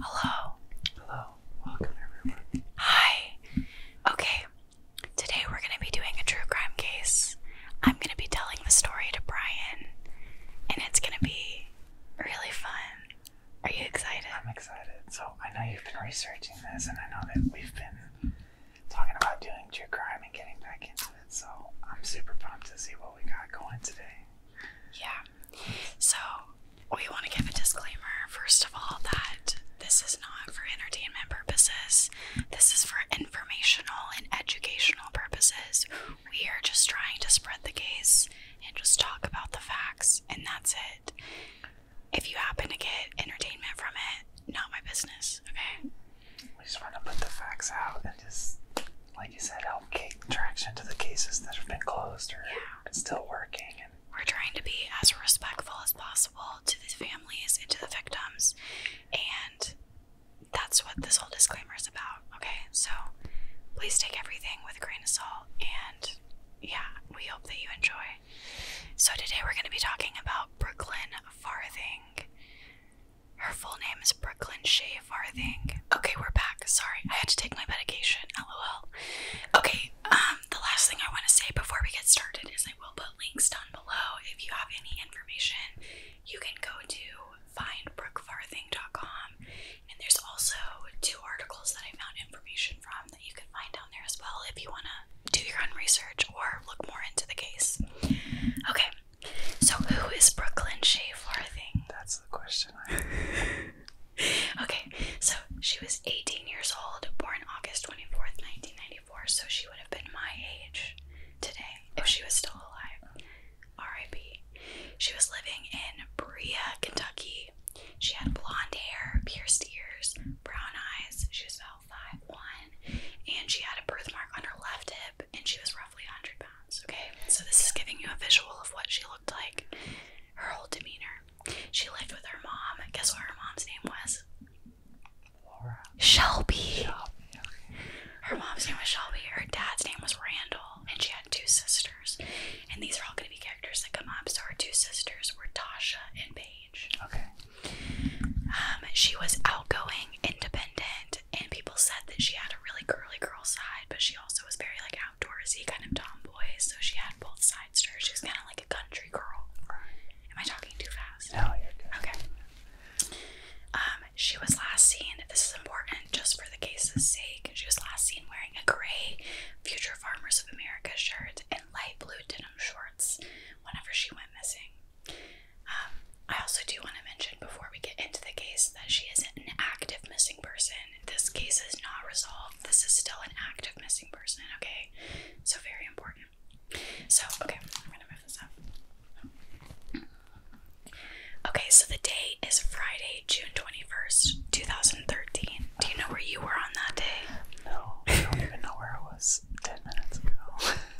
Hello. Hello. Welcome, everyone. Hi. Okay. Today we're going to be doing a true crime case. I'm going to be telling the story to Brian, and it's going to be really fun. Are you excited? I'm excited. So I know you've been researching this, and I know that we've been talking about doing true crime and getting back into it. So I'm super pumped to see what we got going today. Yeah. So we want to give a disclaimer, first of all, that this is not for entertainment purposes. This is for informational and educational purposes. We are just trying to spread the case and just talk about the facts, and that's it. If you happen to get entertainment from it, not my business, okay? We just want to put the facts out and just, like you said, help keep traction to the cases that have been closed or still working. And We're trying to be as respectful as possible to the families and to the victims, and that's what this whole disclaimer is about, okay? So please take everything with a grain of salt, and yeah, we hope that you enjoy so today we're going to be talking about Brooklyn Farthing. Her full name is Brooklyn Shea Farthing. Okay, we're back. Sorry, I had to take my medication. LOL. Okay, um, the last thing I want to say before we get started is I will put links down below. If you have any information, you can go to findbrookefarthing.com. And there's also two articles that I found information from you can find down there as well if you want to do your own research or look more into the case. Okay, so who is Brooklyn Shea Farthing? That's the question. okay, so she was 18 years old, born August 24th, 1994, so she would have been my age today if she was still alive. R.I.P. She was living in Brea, Kentucky. She had blonde hair, pierced ears, brown eyes. She was and she had a birthmark on her left hip, and she was roughly 100 pounds. Okay, so this is giving you a visual of what she looked like, her whole demeanor. She lived with her mom. Guess what her mom's name was? Laura. Shelby. Shelby. Her mom's name was Shelby. Her dad's name was Randall, and she had two sisters. And these are all going to be characters that come up. So her two sisters were Tasha and Paige. Okay. Um, she was outgoing, independent, and people said that she had a really girly girl side, but she also was very like outdoorsy, kind of tomboy. So she had both sides to her. She was kind of like a country girl. Am I talking too fast? No, you're good. Okay. Um, she was last seen. This is important just for the case's sake. She was last seen wearing a gray Future Farmers of America shirt light blue denim shorts whenever she went missing. Um, I also do want to mention before we get into the case that she is an active missing person. This case is not resolved. This is still an active missing person, okay? So, very important. So, okay, I'm gonna move this up. Okay, so the day is Friday, June 21st, 2013. Do you know where you were on that day? No, I don't even know where I was. 10 minutes ago.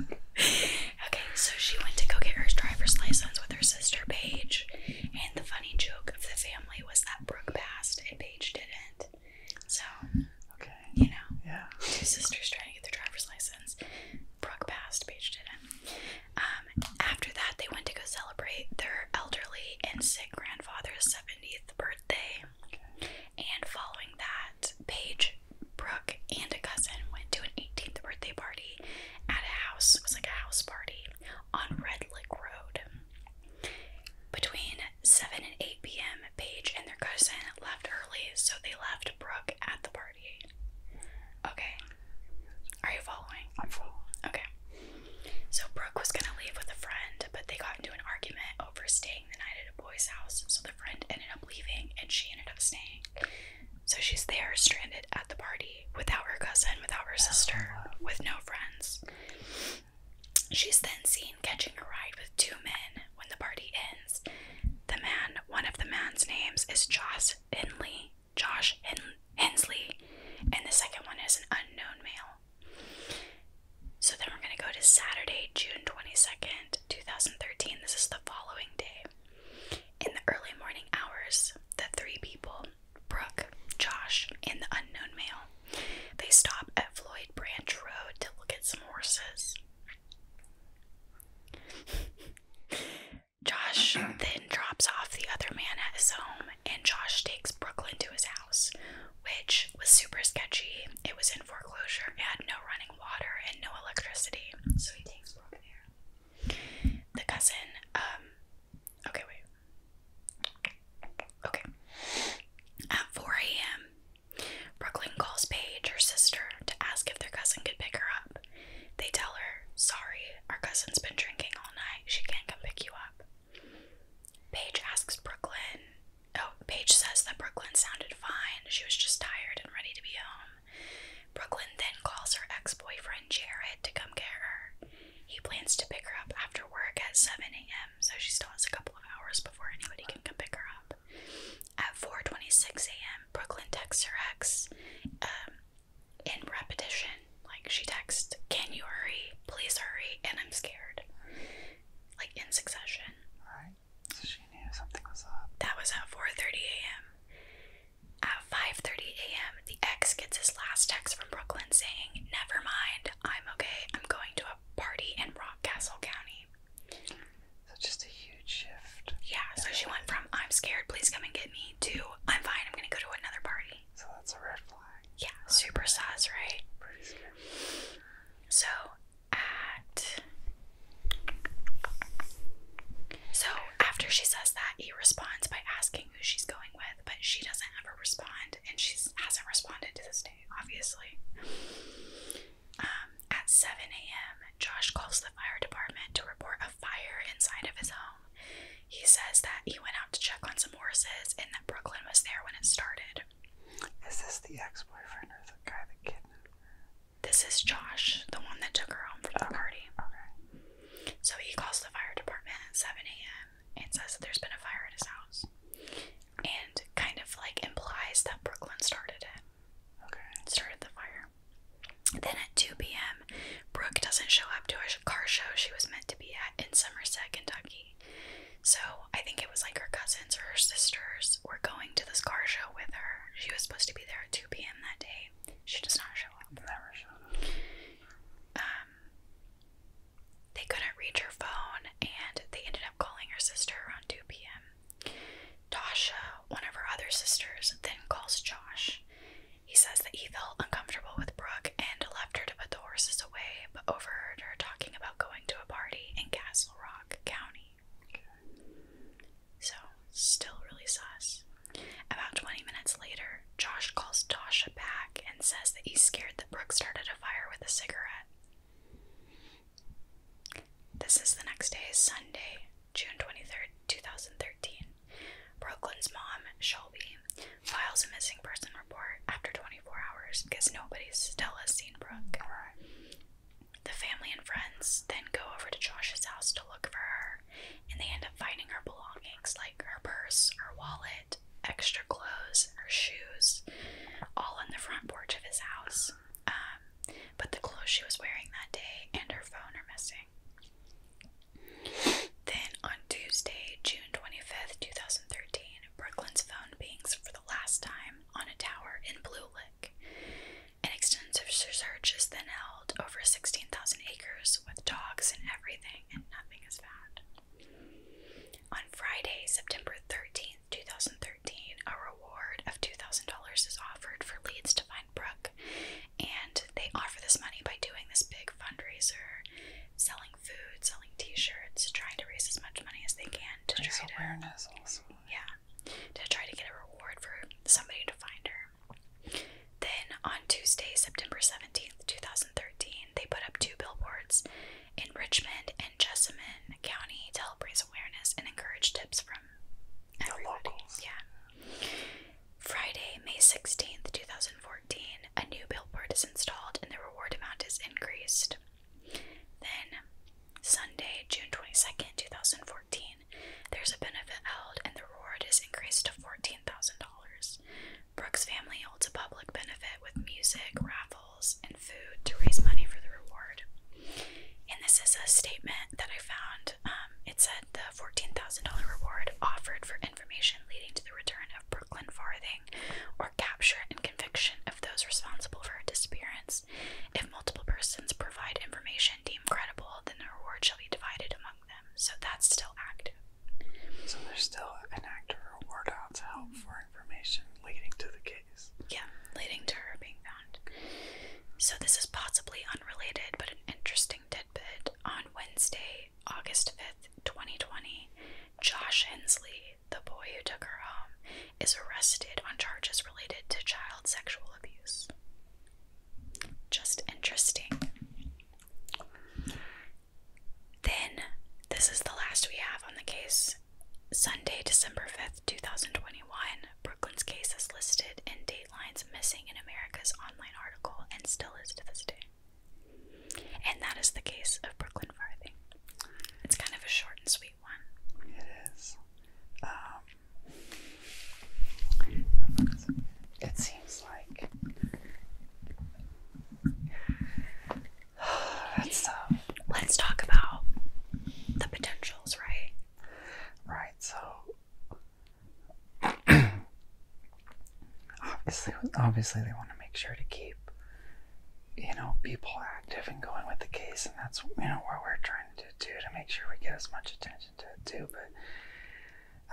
okay, so she went to go get her driver's license with her sister Paige, and the funny joke of the family was that Brooke passed and Paige didn't. So, okay, you know, two sisters trying to get their driver's license. Brooke passed, Paige didn't. Um, after that, they went to go celebrate their elderly and sick grandfather's 70th birthday and following that, Paige, Brooke, and a cousin went to an 18th birthday party at a house. It was like a house party on Red Lick Road. Between 7 and 8 p.m., Paige and their cousin left early, so they left Brooke at the party. Okay. Are you following? I'm following. Okay. So Brooke was gonna leave with a friend, but they got into an argument over staying the night at a boy's house, so the friend ended up leaving and she ended up staying. So she's there, stranded at the party, without her cousin, without her sister, oh, with no friends. She's then seen catching a ride with two men when the party ends. The man, one of the man's names is Josh Inley, Josh Hen Hensley, and the second one is an unknown male. So then we're going to go to Saturday, June 22nd, 2013. This is the following day. In the early morning hours, the three people, Brooke, Josh, and the unknown male, they stop at Floyd Branch Road to look at some horses. Josh then drops off the other man at his home, and Josh takes Brooklyn to his house, which was super sketchy. It was in foreclosure, it had no running water and no electricity. So he takes Brooke there. The cousin, um, okay, wait. Okay. At 4 a.m., Brooklyn calls Paige, her sister, to ask if their cousin could pick her up. They tell her, Sorry, our cousin's been drinking all night. She can't come pick you up. Paige asks Brooklyn Oh, Paige says that Brooklyn sounded fine. She was just tired and ready to be home. Brooklyn then calls her ex boyfriend Jared to come get her. He plans to pick her up after work at 7 a.m., so she still has a couple of hours before anybody can come pick her up. At 4:26 a.m., Brooklyn texts her ex um, in repetition. Like she texts, "Can you hurry? Please hurry, and I'm scared." Like in succession. So she knew something was up. That was at 4:30 a.m. At 5:30 a.m., the ex gets his last text from Brooklyn saying, "Never mind, I'm okay. I'm going to a party in Rockcastle County." So just a huge shift. Yeah. So she went from "I'm scared, please come and get me" to "I'm fine, I'm gonna go to another party." So that's a red flag. Yeah, super sus, right? So so after she says that, he responds by asking who she's going with, but she doesn't ever respond, and she hasn't responded to this day, obviously. Um, at 7 a.m., Josh calls the fire department to report a fire inside of his home. He says that he went out to check on some horses and that Brooklyn was there when it started. Is this the ex boyfriend or the guy that kidnapped? This is Josh, the one that took her home from the party. Okay. So he calls the fire department at 7 a.m. and says that there's been a fire at his house. And kind of like implies that Brooklyn started it. Okay. Started the fire. Then at 2 p.m., Brooke doesn't show up to a car show she was meant to be at in Somerset, Kentucky. So I think it was like her cousins or her sisters were going to this car show with her. She was supposed to be there at 2 p.m. that day. She does not show up. Never showed up. Um, they couldn't reach her phone, and they ended up calling her sister around 2 p.m. Tasha, one of her other sisters, then calls Josh. He says that he felt uncomfortable with Brooke and left her to put the horses away, but overheard her talking about going to a party in Castle Rock County. So, still really sus. About 20 minutes later, Josh calls Tasha back and says that he's scared that Brooke started a fire with a cigarette. This is the next day, Sunday, June 23rd, 2013. Brooklyn's mom, Shelby, files a missing person report after 24 hours because nobody still has seen Brooke. The family and friends then go over to Josh's house to look for her, and they end up finding her belongings like her purse, her wallet, extra clothes, her shoes, all on the front porch of his house. Um, but the clothes she was wearing that day and her phone are missing. Then on Tuesday, June 25th, 2013, Brooklyn's phone pings for the last time on a tower in Blue Lake. An extensive search is then held over 16,000 acres with dogs and everything, and nothing is found. On Friday, September thirteenth, two 2013, a reward of $2,000 is offered for leads to find Brooke, and they offer this money by doing this big fundraiser, selling food, selling t shirts, trying to raise as much money as they can to raise awareness. also. Yeah, to try to get a reward for somebody to find her. Then on Tuesday, September 17th, 2013, they put up two billboards in Richmond and Jessamine County to help raise awareness and encourage tips from everybody. Yeah. Friday, May 16th, 2014, a new billboard is installed and the reward amount is increased. Then, Sunday, June 22nd, 2014, there's a benefit held and the reward is increased to $14,000. Brooks' family holds a public benefit with music, raffles, and food to raise money for the reward. And this is a statement that I found. Um, it said the $14,000 reward offered for information leading to the return of Brooklyn Farthing or capture and conviction of those responsible for her disappearance if multiple persons provide information deemed credible, then the reward shall be divided among them. So that's still active. So there's still an actor reward out to help mm-hmm. for information leading to the case. Yeah, leading to her being found. So this is possibly unrelated, but an interesting tidbit. On Wednesday, August 5th, 2020, Josh Hensley, the boy who took her home, is arrested on charges related to child sexual abuse. Just interesting. Then, this is the last we have on the case. Sunday, December 5th, 2021, Brooklyn's case is listed in Dateline's Missing in America's online article and still is to this day. And that is the case of Brooklyn Farthing. It's kind of a short and sweet one. It is. Um, it seems like that's tough. Let's talk about the potentials, right? Right. So obviously, obviously, they want to make sure to keep you know people active and going with the case, and that's you know where we're trying trying to do to make sure we get as much attention to it too, but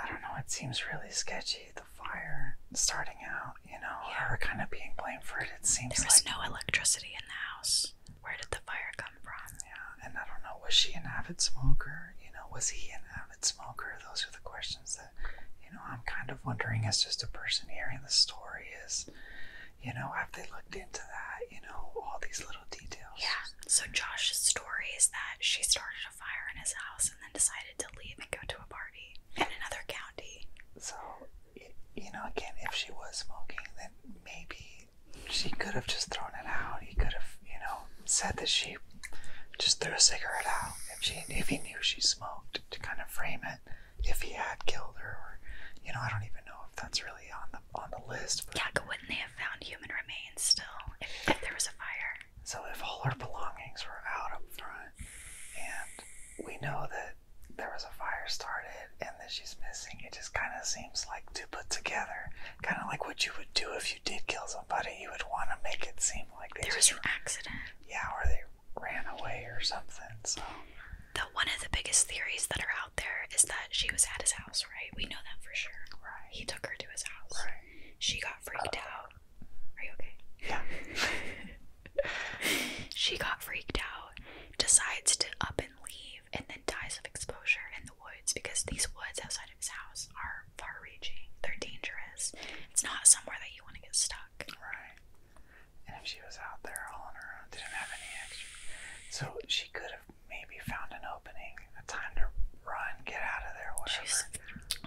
I don't know, it seems really sketchy. The fire starting out, you know, yeah. her kind of being blamed for it. It seems there was like, no electricity in the house. Where did the fire come from? Yeah, and I don't know, was she an avid smoker? You know, was he an avid smoker? Those are the questions that, you know, I'm kind of wondering as just a person hearing the story is you know, have they looked into that? You know, all these little details. Yeah. So Josh's story is that she started a fire in his house and then decided to leave and go to a party in another county. So, you know, again, if she was smoking, then maybe she could have just thrown it out. He could have, you know, said that she just threw a cigarette out if she if he knew she smoked to kind of frame it. If he had killed her, or you know, I don't even know if that's really on the on the list. yeah, but wouldn't they have found human remains still if, if there was a fire? So if all her belongings were out up front, and we know that there was a fire started and that she's missing, it just kind of seems like to put together, kind of like what you would do if you did kill somebody. You would want to make it seem like there was an accident. Yeah, or they ran away or something. So the one of the biggest theories that are out there is that she was at his house, right? We know that for sure. Right. He took her to his house. Right. She got uh, freaked out. Are you okay? Yeah. she got freaked out, decides to up and leave, and then dies of exposure in the woods because these woods outside of his house are far reaching. They're dangerous. It's not somewhere that you want to get stuck. Right. And if she was out there all on her own, didn't have any extra. So she could have maybe found an opening, a time to run, get out of there, whatever. She's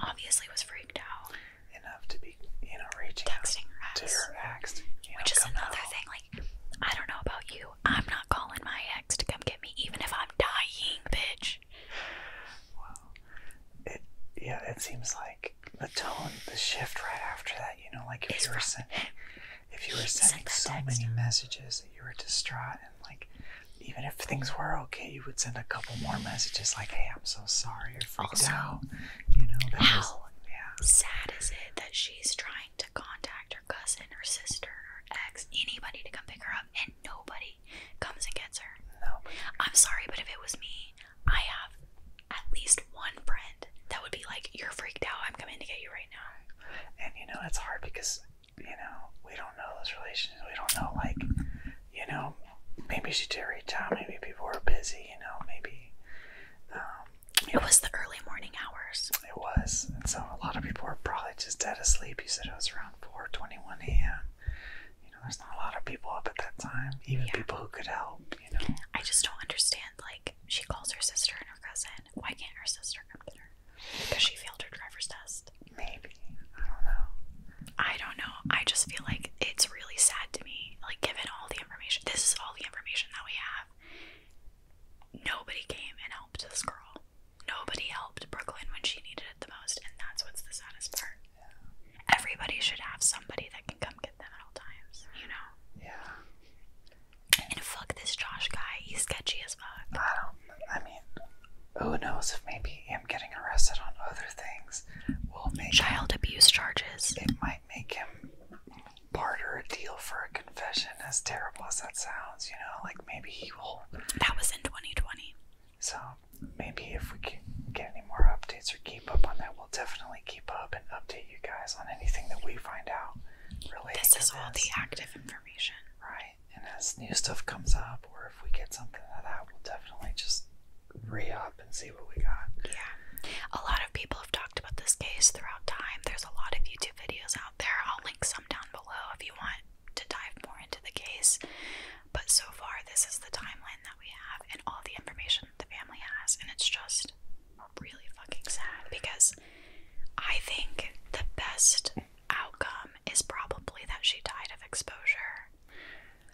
obviously was freaked out. Enough to be, you know, reaching Texting her ex. Which is another thing, like, I don't know about you, I'm not calling my ex to come get me, even if I'm dying, bitch. Well, it, yeah, it seems like the tone, the shift right after that, you know, like if you were sending if you were sending so many messages that you were distraught and like even if things were okay, you would send a couple more messages like, "Hey, I'm so sorry," or "freaked also, out." You know, that how sad is it that she's trying to contact her cousin, her sister, her ex, anybody to come pick her up, and nobody comes and gets her? No. I'm sorry, but if it was me, I have at least one friend that would be like, "You're freaked out. I'm coming to get you right and you know, it's hard because, you know, we don't know those relationships. We don't know, like, you know, maybe she did not reach out. Maybe people were busy, you know, maybe. Um, it was the early morning hours. It was. And so a lot of people were probably just dead asleep. You said it was around 4:21 a.m. You know, there's not a lot of people up at that time, even people who could help, you know. I just don't understand like she calls her sister and her cousin why can't her sister come get her? Because she failed her driver's test. Maybe. I don't know. I don't know. I just feel like it's really sad to me. Like, given all the information, this is all the information that we have. Nobody came and helped this girl. Nobody helped Brooklyn when she needed it the most, and that's what's the saddest part. Yeah. Everybody should have somebody that can come get them at all times, you know? Yeah. And fuck this Josh guy, he's sketchy as fuck. I don't, I mean, who knows if maybe him getting arrested on other things will make child abuse charges. It might make him barter a deal for a confession, as terrible as that sounds, you know? Like maybe he will. That was in 2020. So maybe if we can get any more updates or keep up on that, we'll definitely keep up and update you guys on anything that we find out this is all the active information right and as new stuff comes up or if we get something of that we'll definitely just re-up and see what we got yeah a lot of people have talked about this case throughout time there's a lot of youtube videos out there i'll link some down below if you want to dive more into the case but so far this is the timeline that we have and all the information the family has and it's just really fucking sad because I think the best outcome is probably that she died of exposure.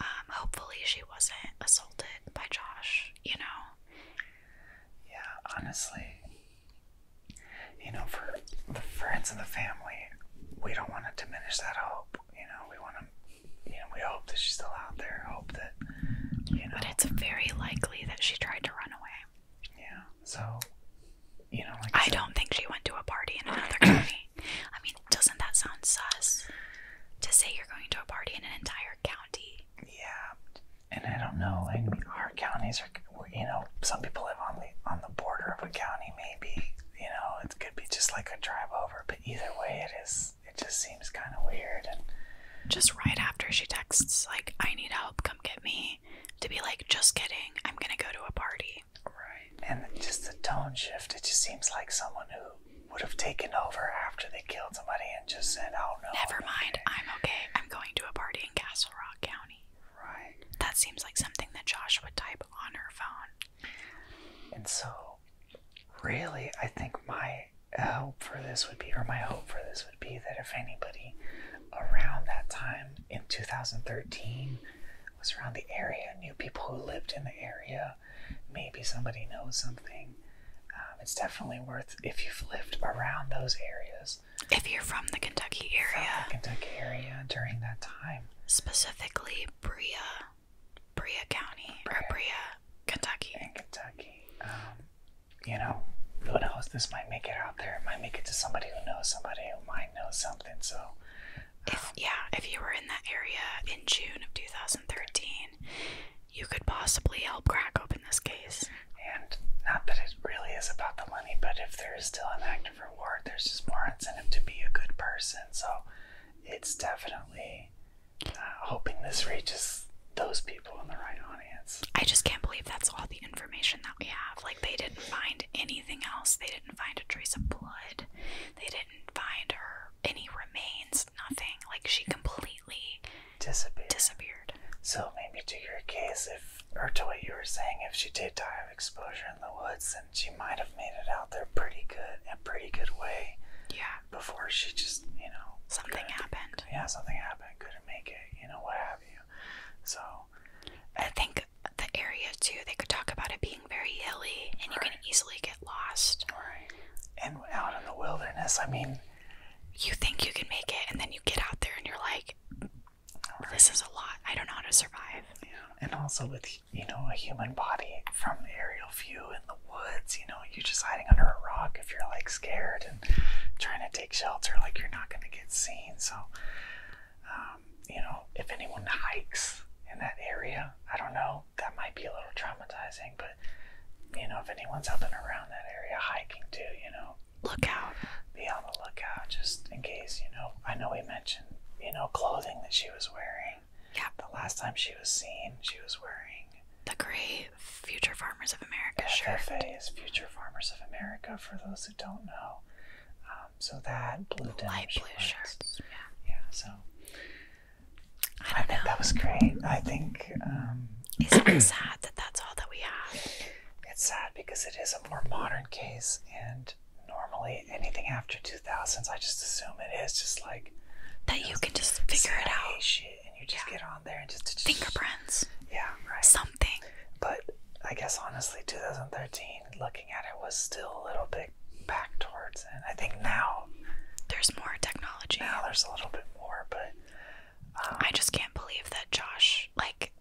Um, hopefully, she wasn't assaulted by Josh, you know? Yeah, honestly, you know, for the friends and the family, we don't want to diminish that hope. You know, we want to, you know, we hope that she's still out there, hope that, you know. But it's very likely that she tried to run away. Yeah. So, you know, like I, don't think she went to a party in another county. I mean, doesn't that sound sus? To say you're going to a party in an entire county. Yeah, and I don't know. Like our counties are, you know, some people live on the on the border of a county. Maybe you know, it could be just like a drive over. But either way, it is. It just seems kind of weird. And just right after she texts, like, "I need help. Come get me." to be like, just kidding, I'm gonna go to a party. Right. And just the tone shift, it just seems like someone who would have taken over after they killed somebody and just said, oh no. Never mind, I'm okay. I'm going to a party in Castle Rock County. Right. That seems like something that Josh would type on her phone. And so, really, I think my uh, hope for this would be, or my hope for this would be that if anybody around that time in 2013 was around the area, knew people who lived in the area. Maybe somebody knows something. Um, it's definitely worth if you've lived around those areas. If you're from the Kentucky area, Kentucky area during that time, specifically Brea, Brea County Brea. Brea, Kentucky. In Kentucky, um, you know, who knows? This might make it out there. It might make it to somebody who knows somebody who might know something. So, uh, yeah, if you were in that area in June of 2013, you could possibly help crack open this case. And not that it really is about the money, but if there is still an active reward, there's just more incentive to be a good person. So, it's definitely uh, hoping this reaches those people in the right audience. I just can't believe that's all the information that we have. Like, they didn't find anything else. They didn't find a trace of blood. They didn't find her any remains, nothing. Like, she completely disappeared. disappeared. So, maybe to your case, if, or to what you were saying, if she did die of exposure in the woods, then she might have made it out there pretty good, in a pretty good way. Yeah. Before she just, you know. Something happened. Yeah, something happened. Couldn't make it, you know, what have you. So I think the area too, they could talk about it being very hilly and you can easily get lost. Right. And out in the wilderness, I mean you think you can make it and then you get out there and you're like this is a lot. I don't know how to survive. Yeah. And also with you know, a human body from aerial view in the woods, you know, you are just hiding under a rock if you're like scared trying to take shelter like you're not going to get seen. So, um, you know, if anyone hikes in that area, I don't know, that might be a little traumatizing, but you know, if anyone's up and around that area hiking too, you know, look out. Be on the lookout just in case, you know. I know we mentioned, you know, clothing that she was wearing. Yeah. The last time she was seen, she was wearing the grave. Future Farmers of America shirt. FFA Future Farmers of America for those who don't know. Um, so that blue light blue shirts. Yeah. Yeah. So I, I think that was great. I think. Um, Isn't it sad that that's all that we have? It's sad because it is a more modern case, and normally anything after two thousands, I just assume it is just like that. You, can just figure it out. Shit, and you just get on there and just, just fingerprints. Yeah, right. Something. But I guess honestly, 2013, looking at it, was still a little bit back towards. And I think now there's more technology. Yeah, there's a little bit more, but um, I just can't believe that Josh like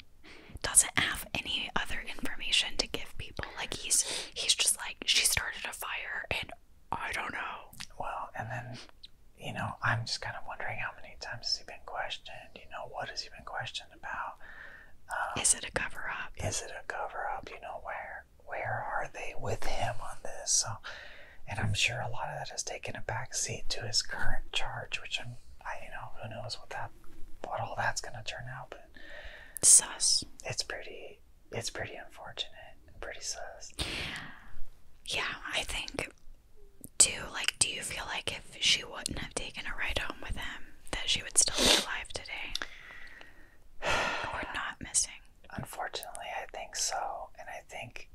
doesn't have any other information to give people. Like he's he's just like she started a fire and I don't know. Well, and then you know, I'm just kind of wondering how many times has he been questioned? You know, what has he been questioned about? Um, is it a cover up? Is it a cover up? You know, where where are they with him on this? So, and I'm sure a lot of that has taken a back seat to his current charge, which I'm, I, you know, who knows what that, what all that's going to turn out, but sus. It's pretty, it's pretty unfortunate pretty sus. Yeah, I think too, like, do you feel like if she wouldn't have taken a ride home with him, that she would still be alive today? or not missing? Unfortunately, I think so. And I think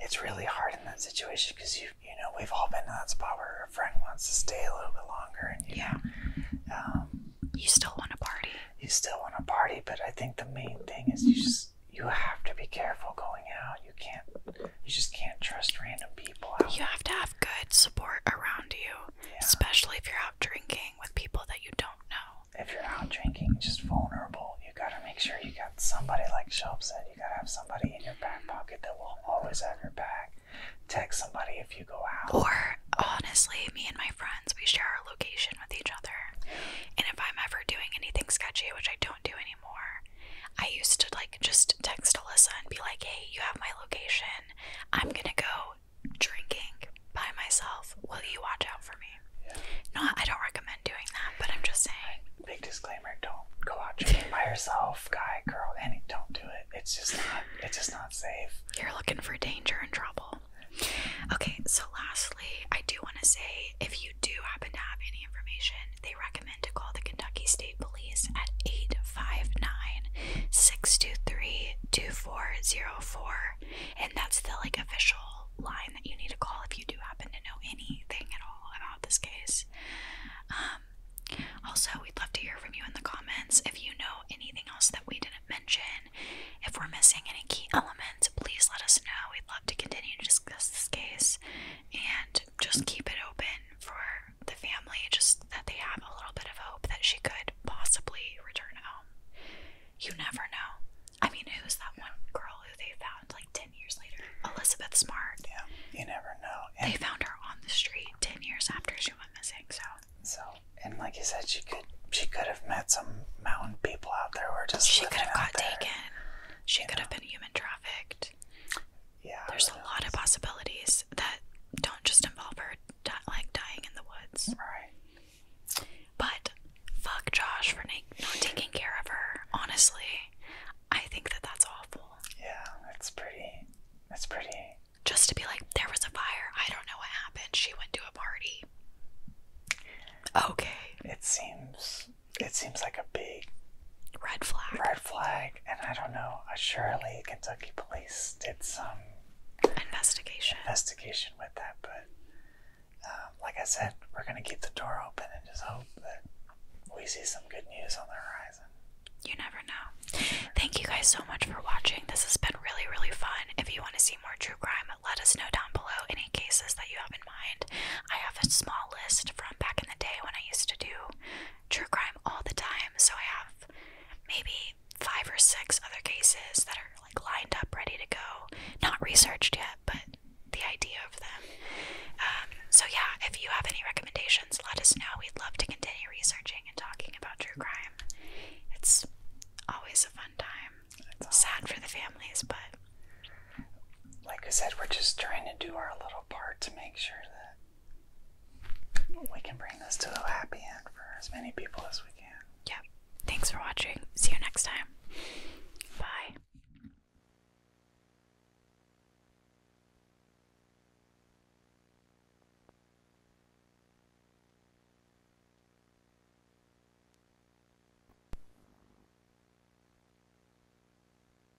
it's really hard in that situation because you, you know, we've all been in that spot where a friend wants to stay a little bit longer, and you yeah, um, you still want to party. You still want to party, but I think the main thing is you just you have to be careful going out. You can't you just can't trust random people. You have to have good support around you, especially if you're out drinking with people that you don't know. If you're out drinking, just vulnerable, you gotta make sure you got somebody like Shelp said. You gotta have somebody in your back pocket that will always have your back. Text somebody if you go out. Or honestly, me and my friends, we share our location with each other. And if I'm ever doing anything sketchy, which I don't do any anymore. I used to like just text Alyssa and be like, hey, you have my location. I'm gonna go drinking by myself. Will you watch out for me? Yeah. Not, I don't recommend doing that, but I'm just saying. Big disclaimer: Don't go out drinking by yourself, guy, girl, any. Don't do it. It's just not. It's just not safe. You're looking for danger and trouble. Okay, so lastly, I do want to say if you do happen to have any information they recommend to call the Kentucky State Police at 859 623 2404. And that's the like official line that you need to call if you do happen to know anything at all about this case. Um, also, we'd love to hear from you in the comments if you know anything else that we didn't mention. If we're missing any key elements, please let us know. We'd love to continue to discuss this case. And just keep it open for the family, just that they have a little bit of hope that she could possibly return home. You never know. I mean, who's that one girl who they found like 10 years later? Elizabeth Smart. Yeah, you never know. And they found her on the street 10 years after she went missing, so. So, and like you said, she could she could have met some mountain people out there who are just She could have got taken. She could have been human trafficked. Yeah. There's a lot of possibilities that don't just involve her like dying in the woods. Right. But fuck Josh for not taking care of her. Honestly, I think that that's awful. Yeah, that's pretty. That's pretty. Just to be like, there was a fire. I don't know what happened. She went to a party. Okay. It seems it seems like a big red flag. Red flag, and I don't know. Uh, surely Kentucky police did some investigation investigation with that, but um, like I said, we're gonna keep the door open and just hope that we see some good news on the horizon. You never know. Thank you guys so much for watching. This has been really, really fun. If you want to see more true crime, let us know down below any cases that you have in mind. I have a small list from back in the day when I used to do true crime all the time, so I have maybe five or six other cases that are like lined up, ready to go. Not researched yet, but the idea of them. Um, so yeah, if you have any recommendations, let us know. We'd love to continue researching and talking about true crime. It's always a fun time. It's Sad for the families, but like I said, we're just trying to do our little part to make sure that we can bring this to a happy end for as many people as we can. Yep. Thanks for watching. See you next time. Bye.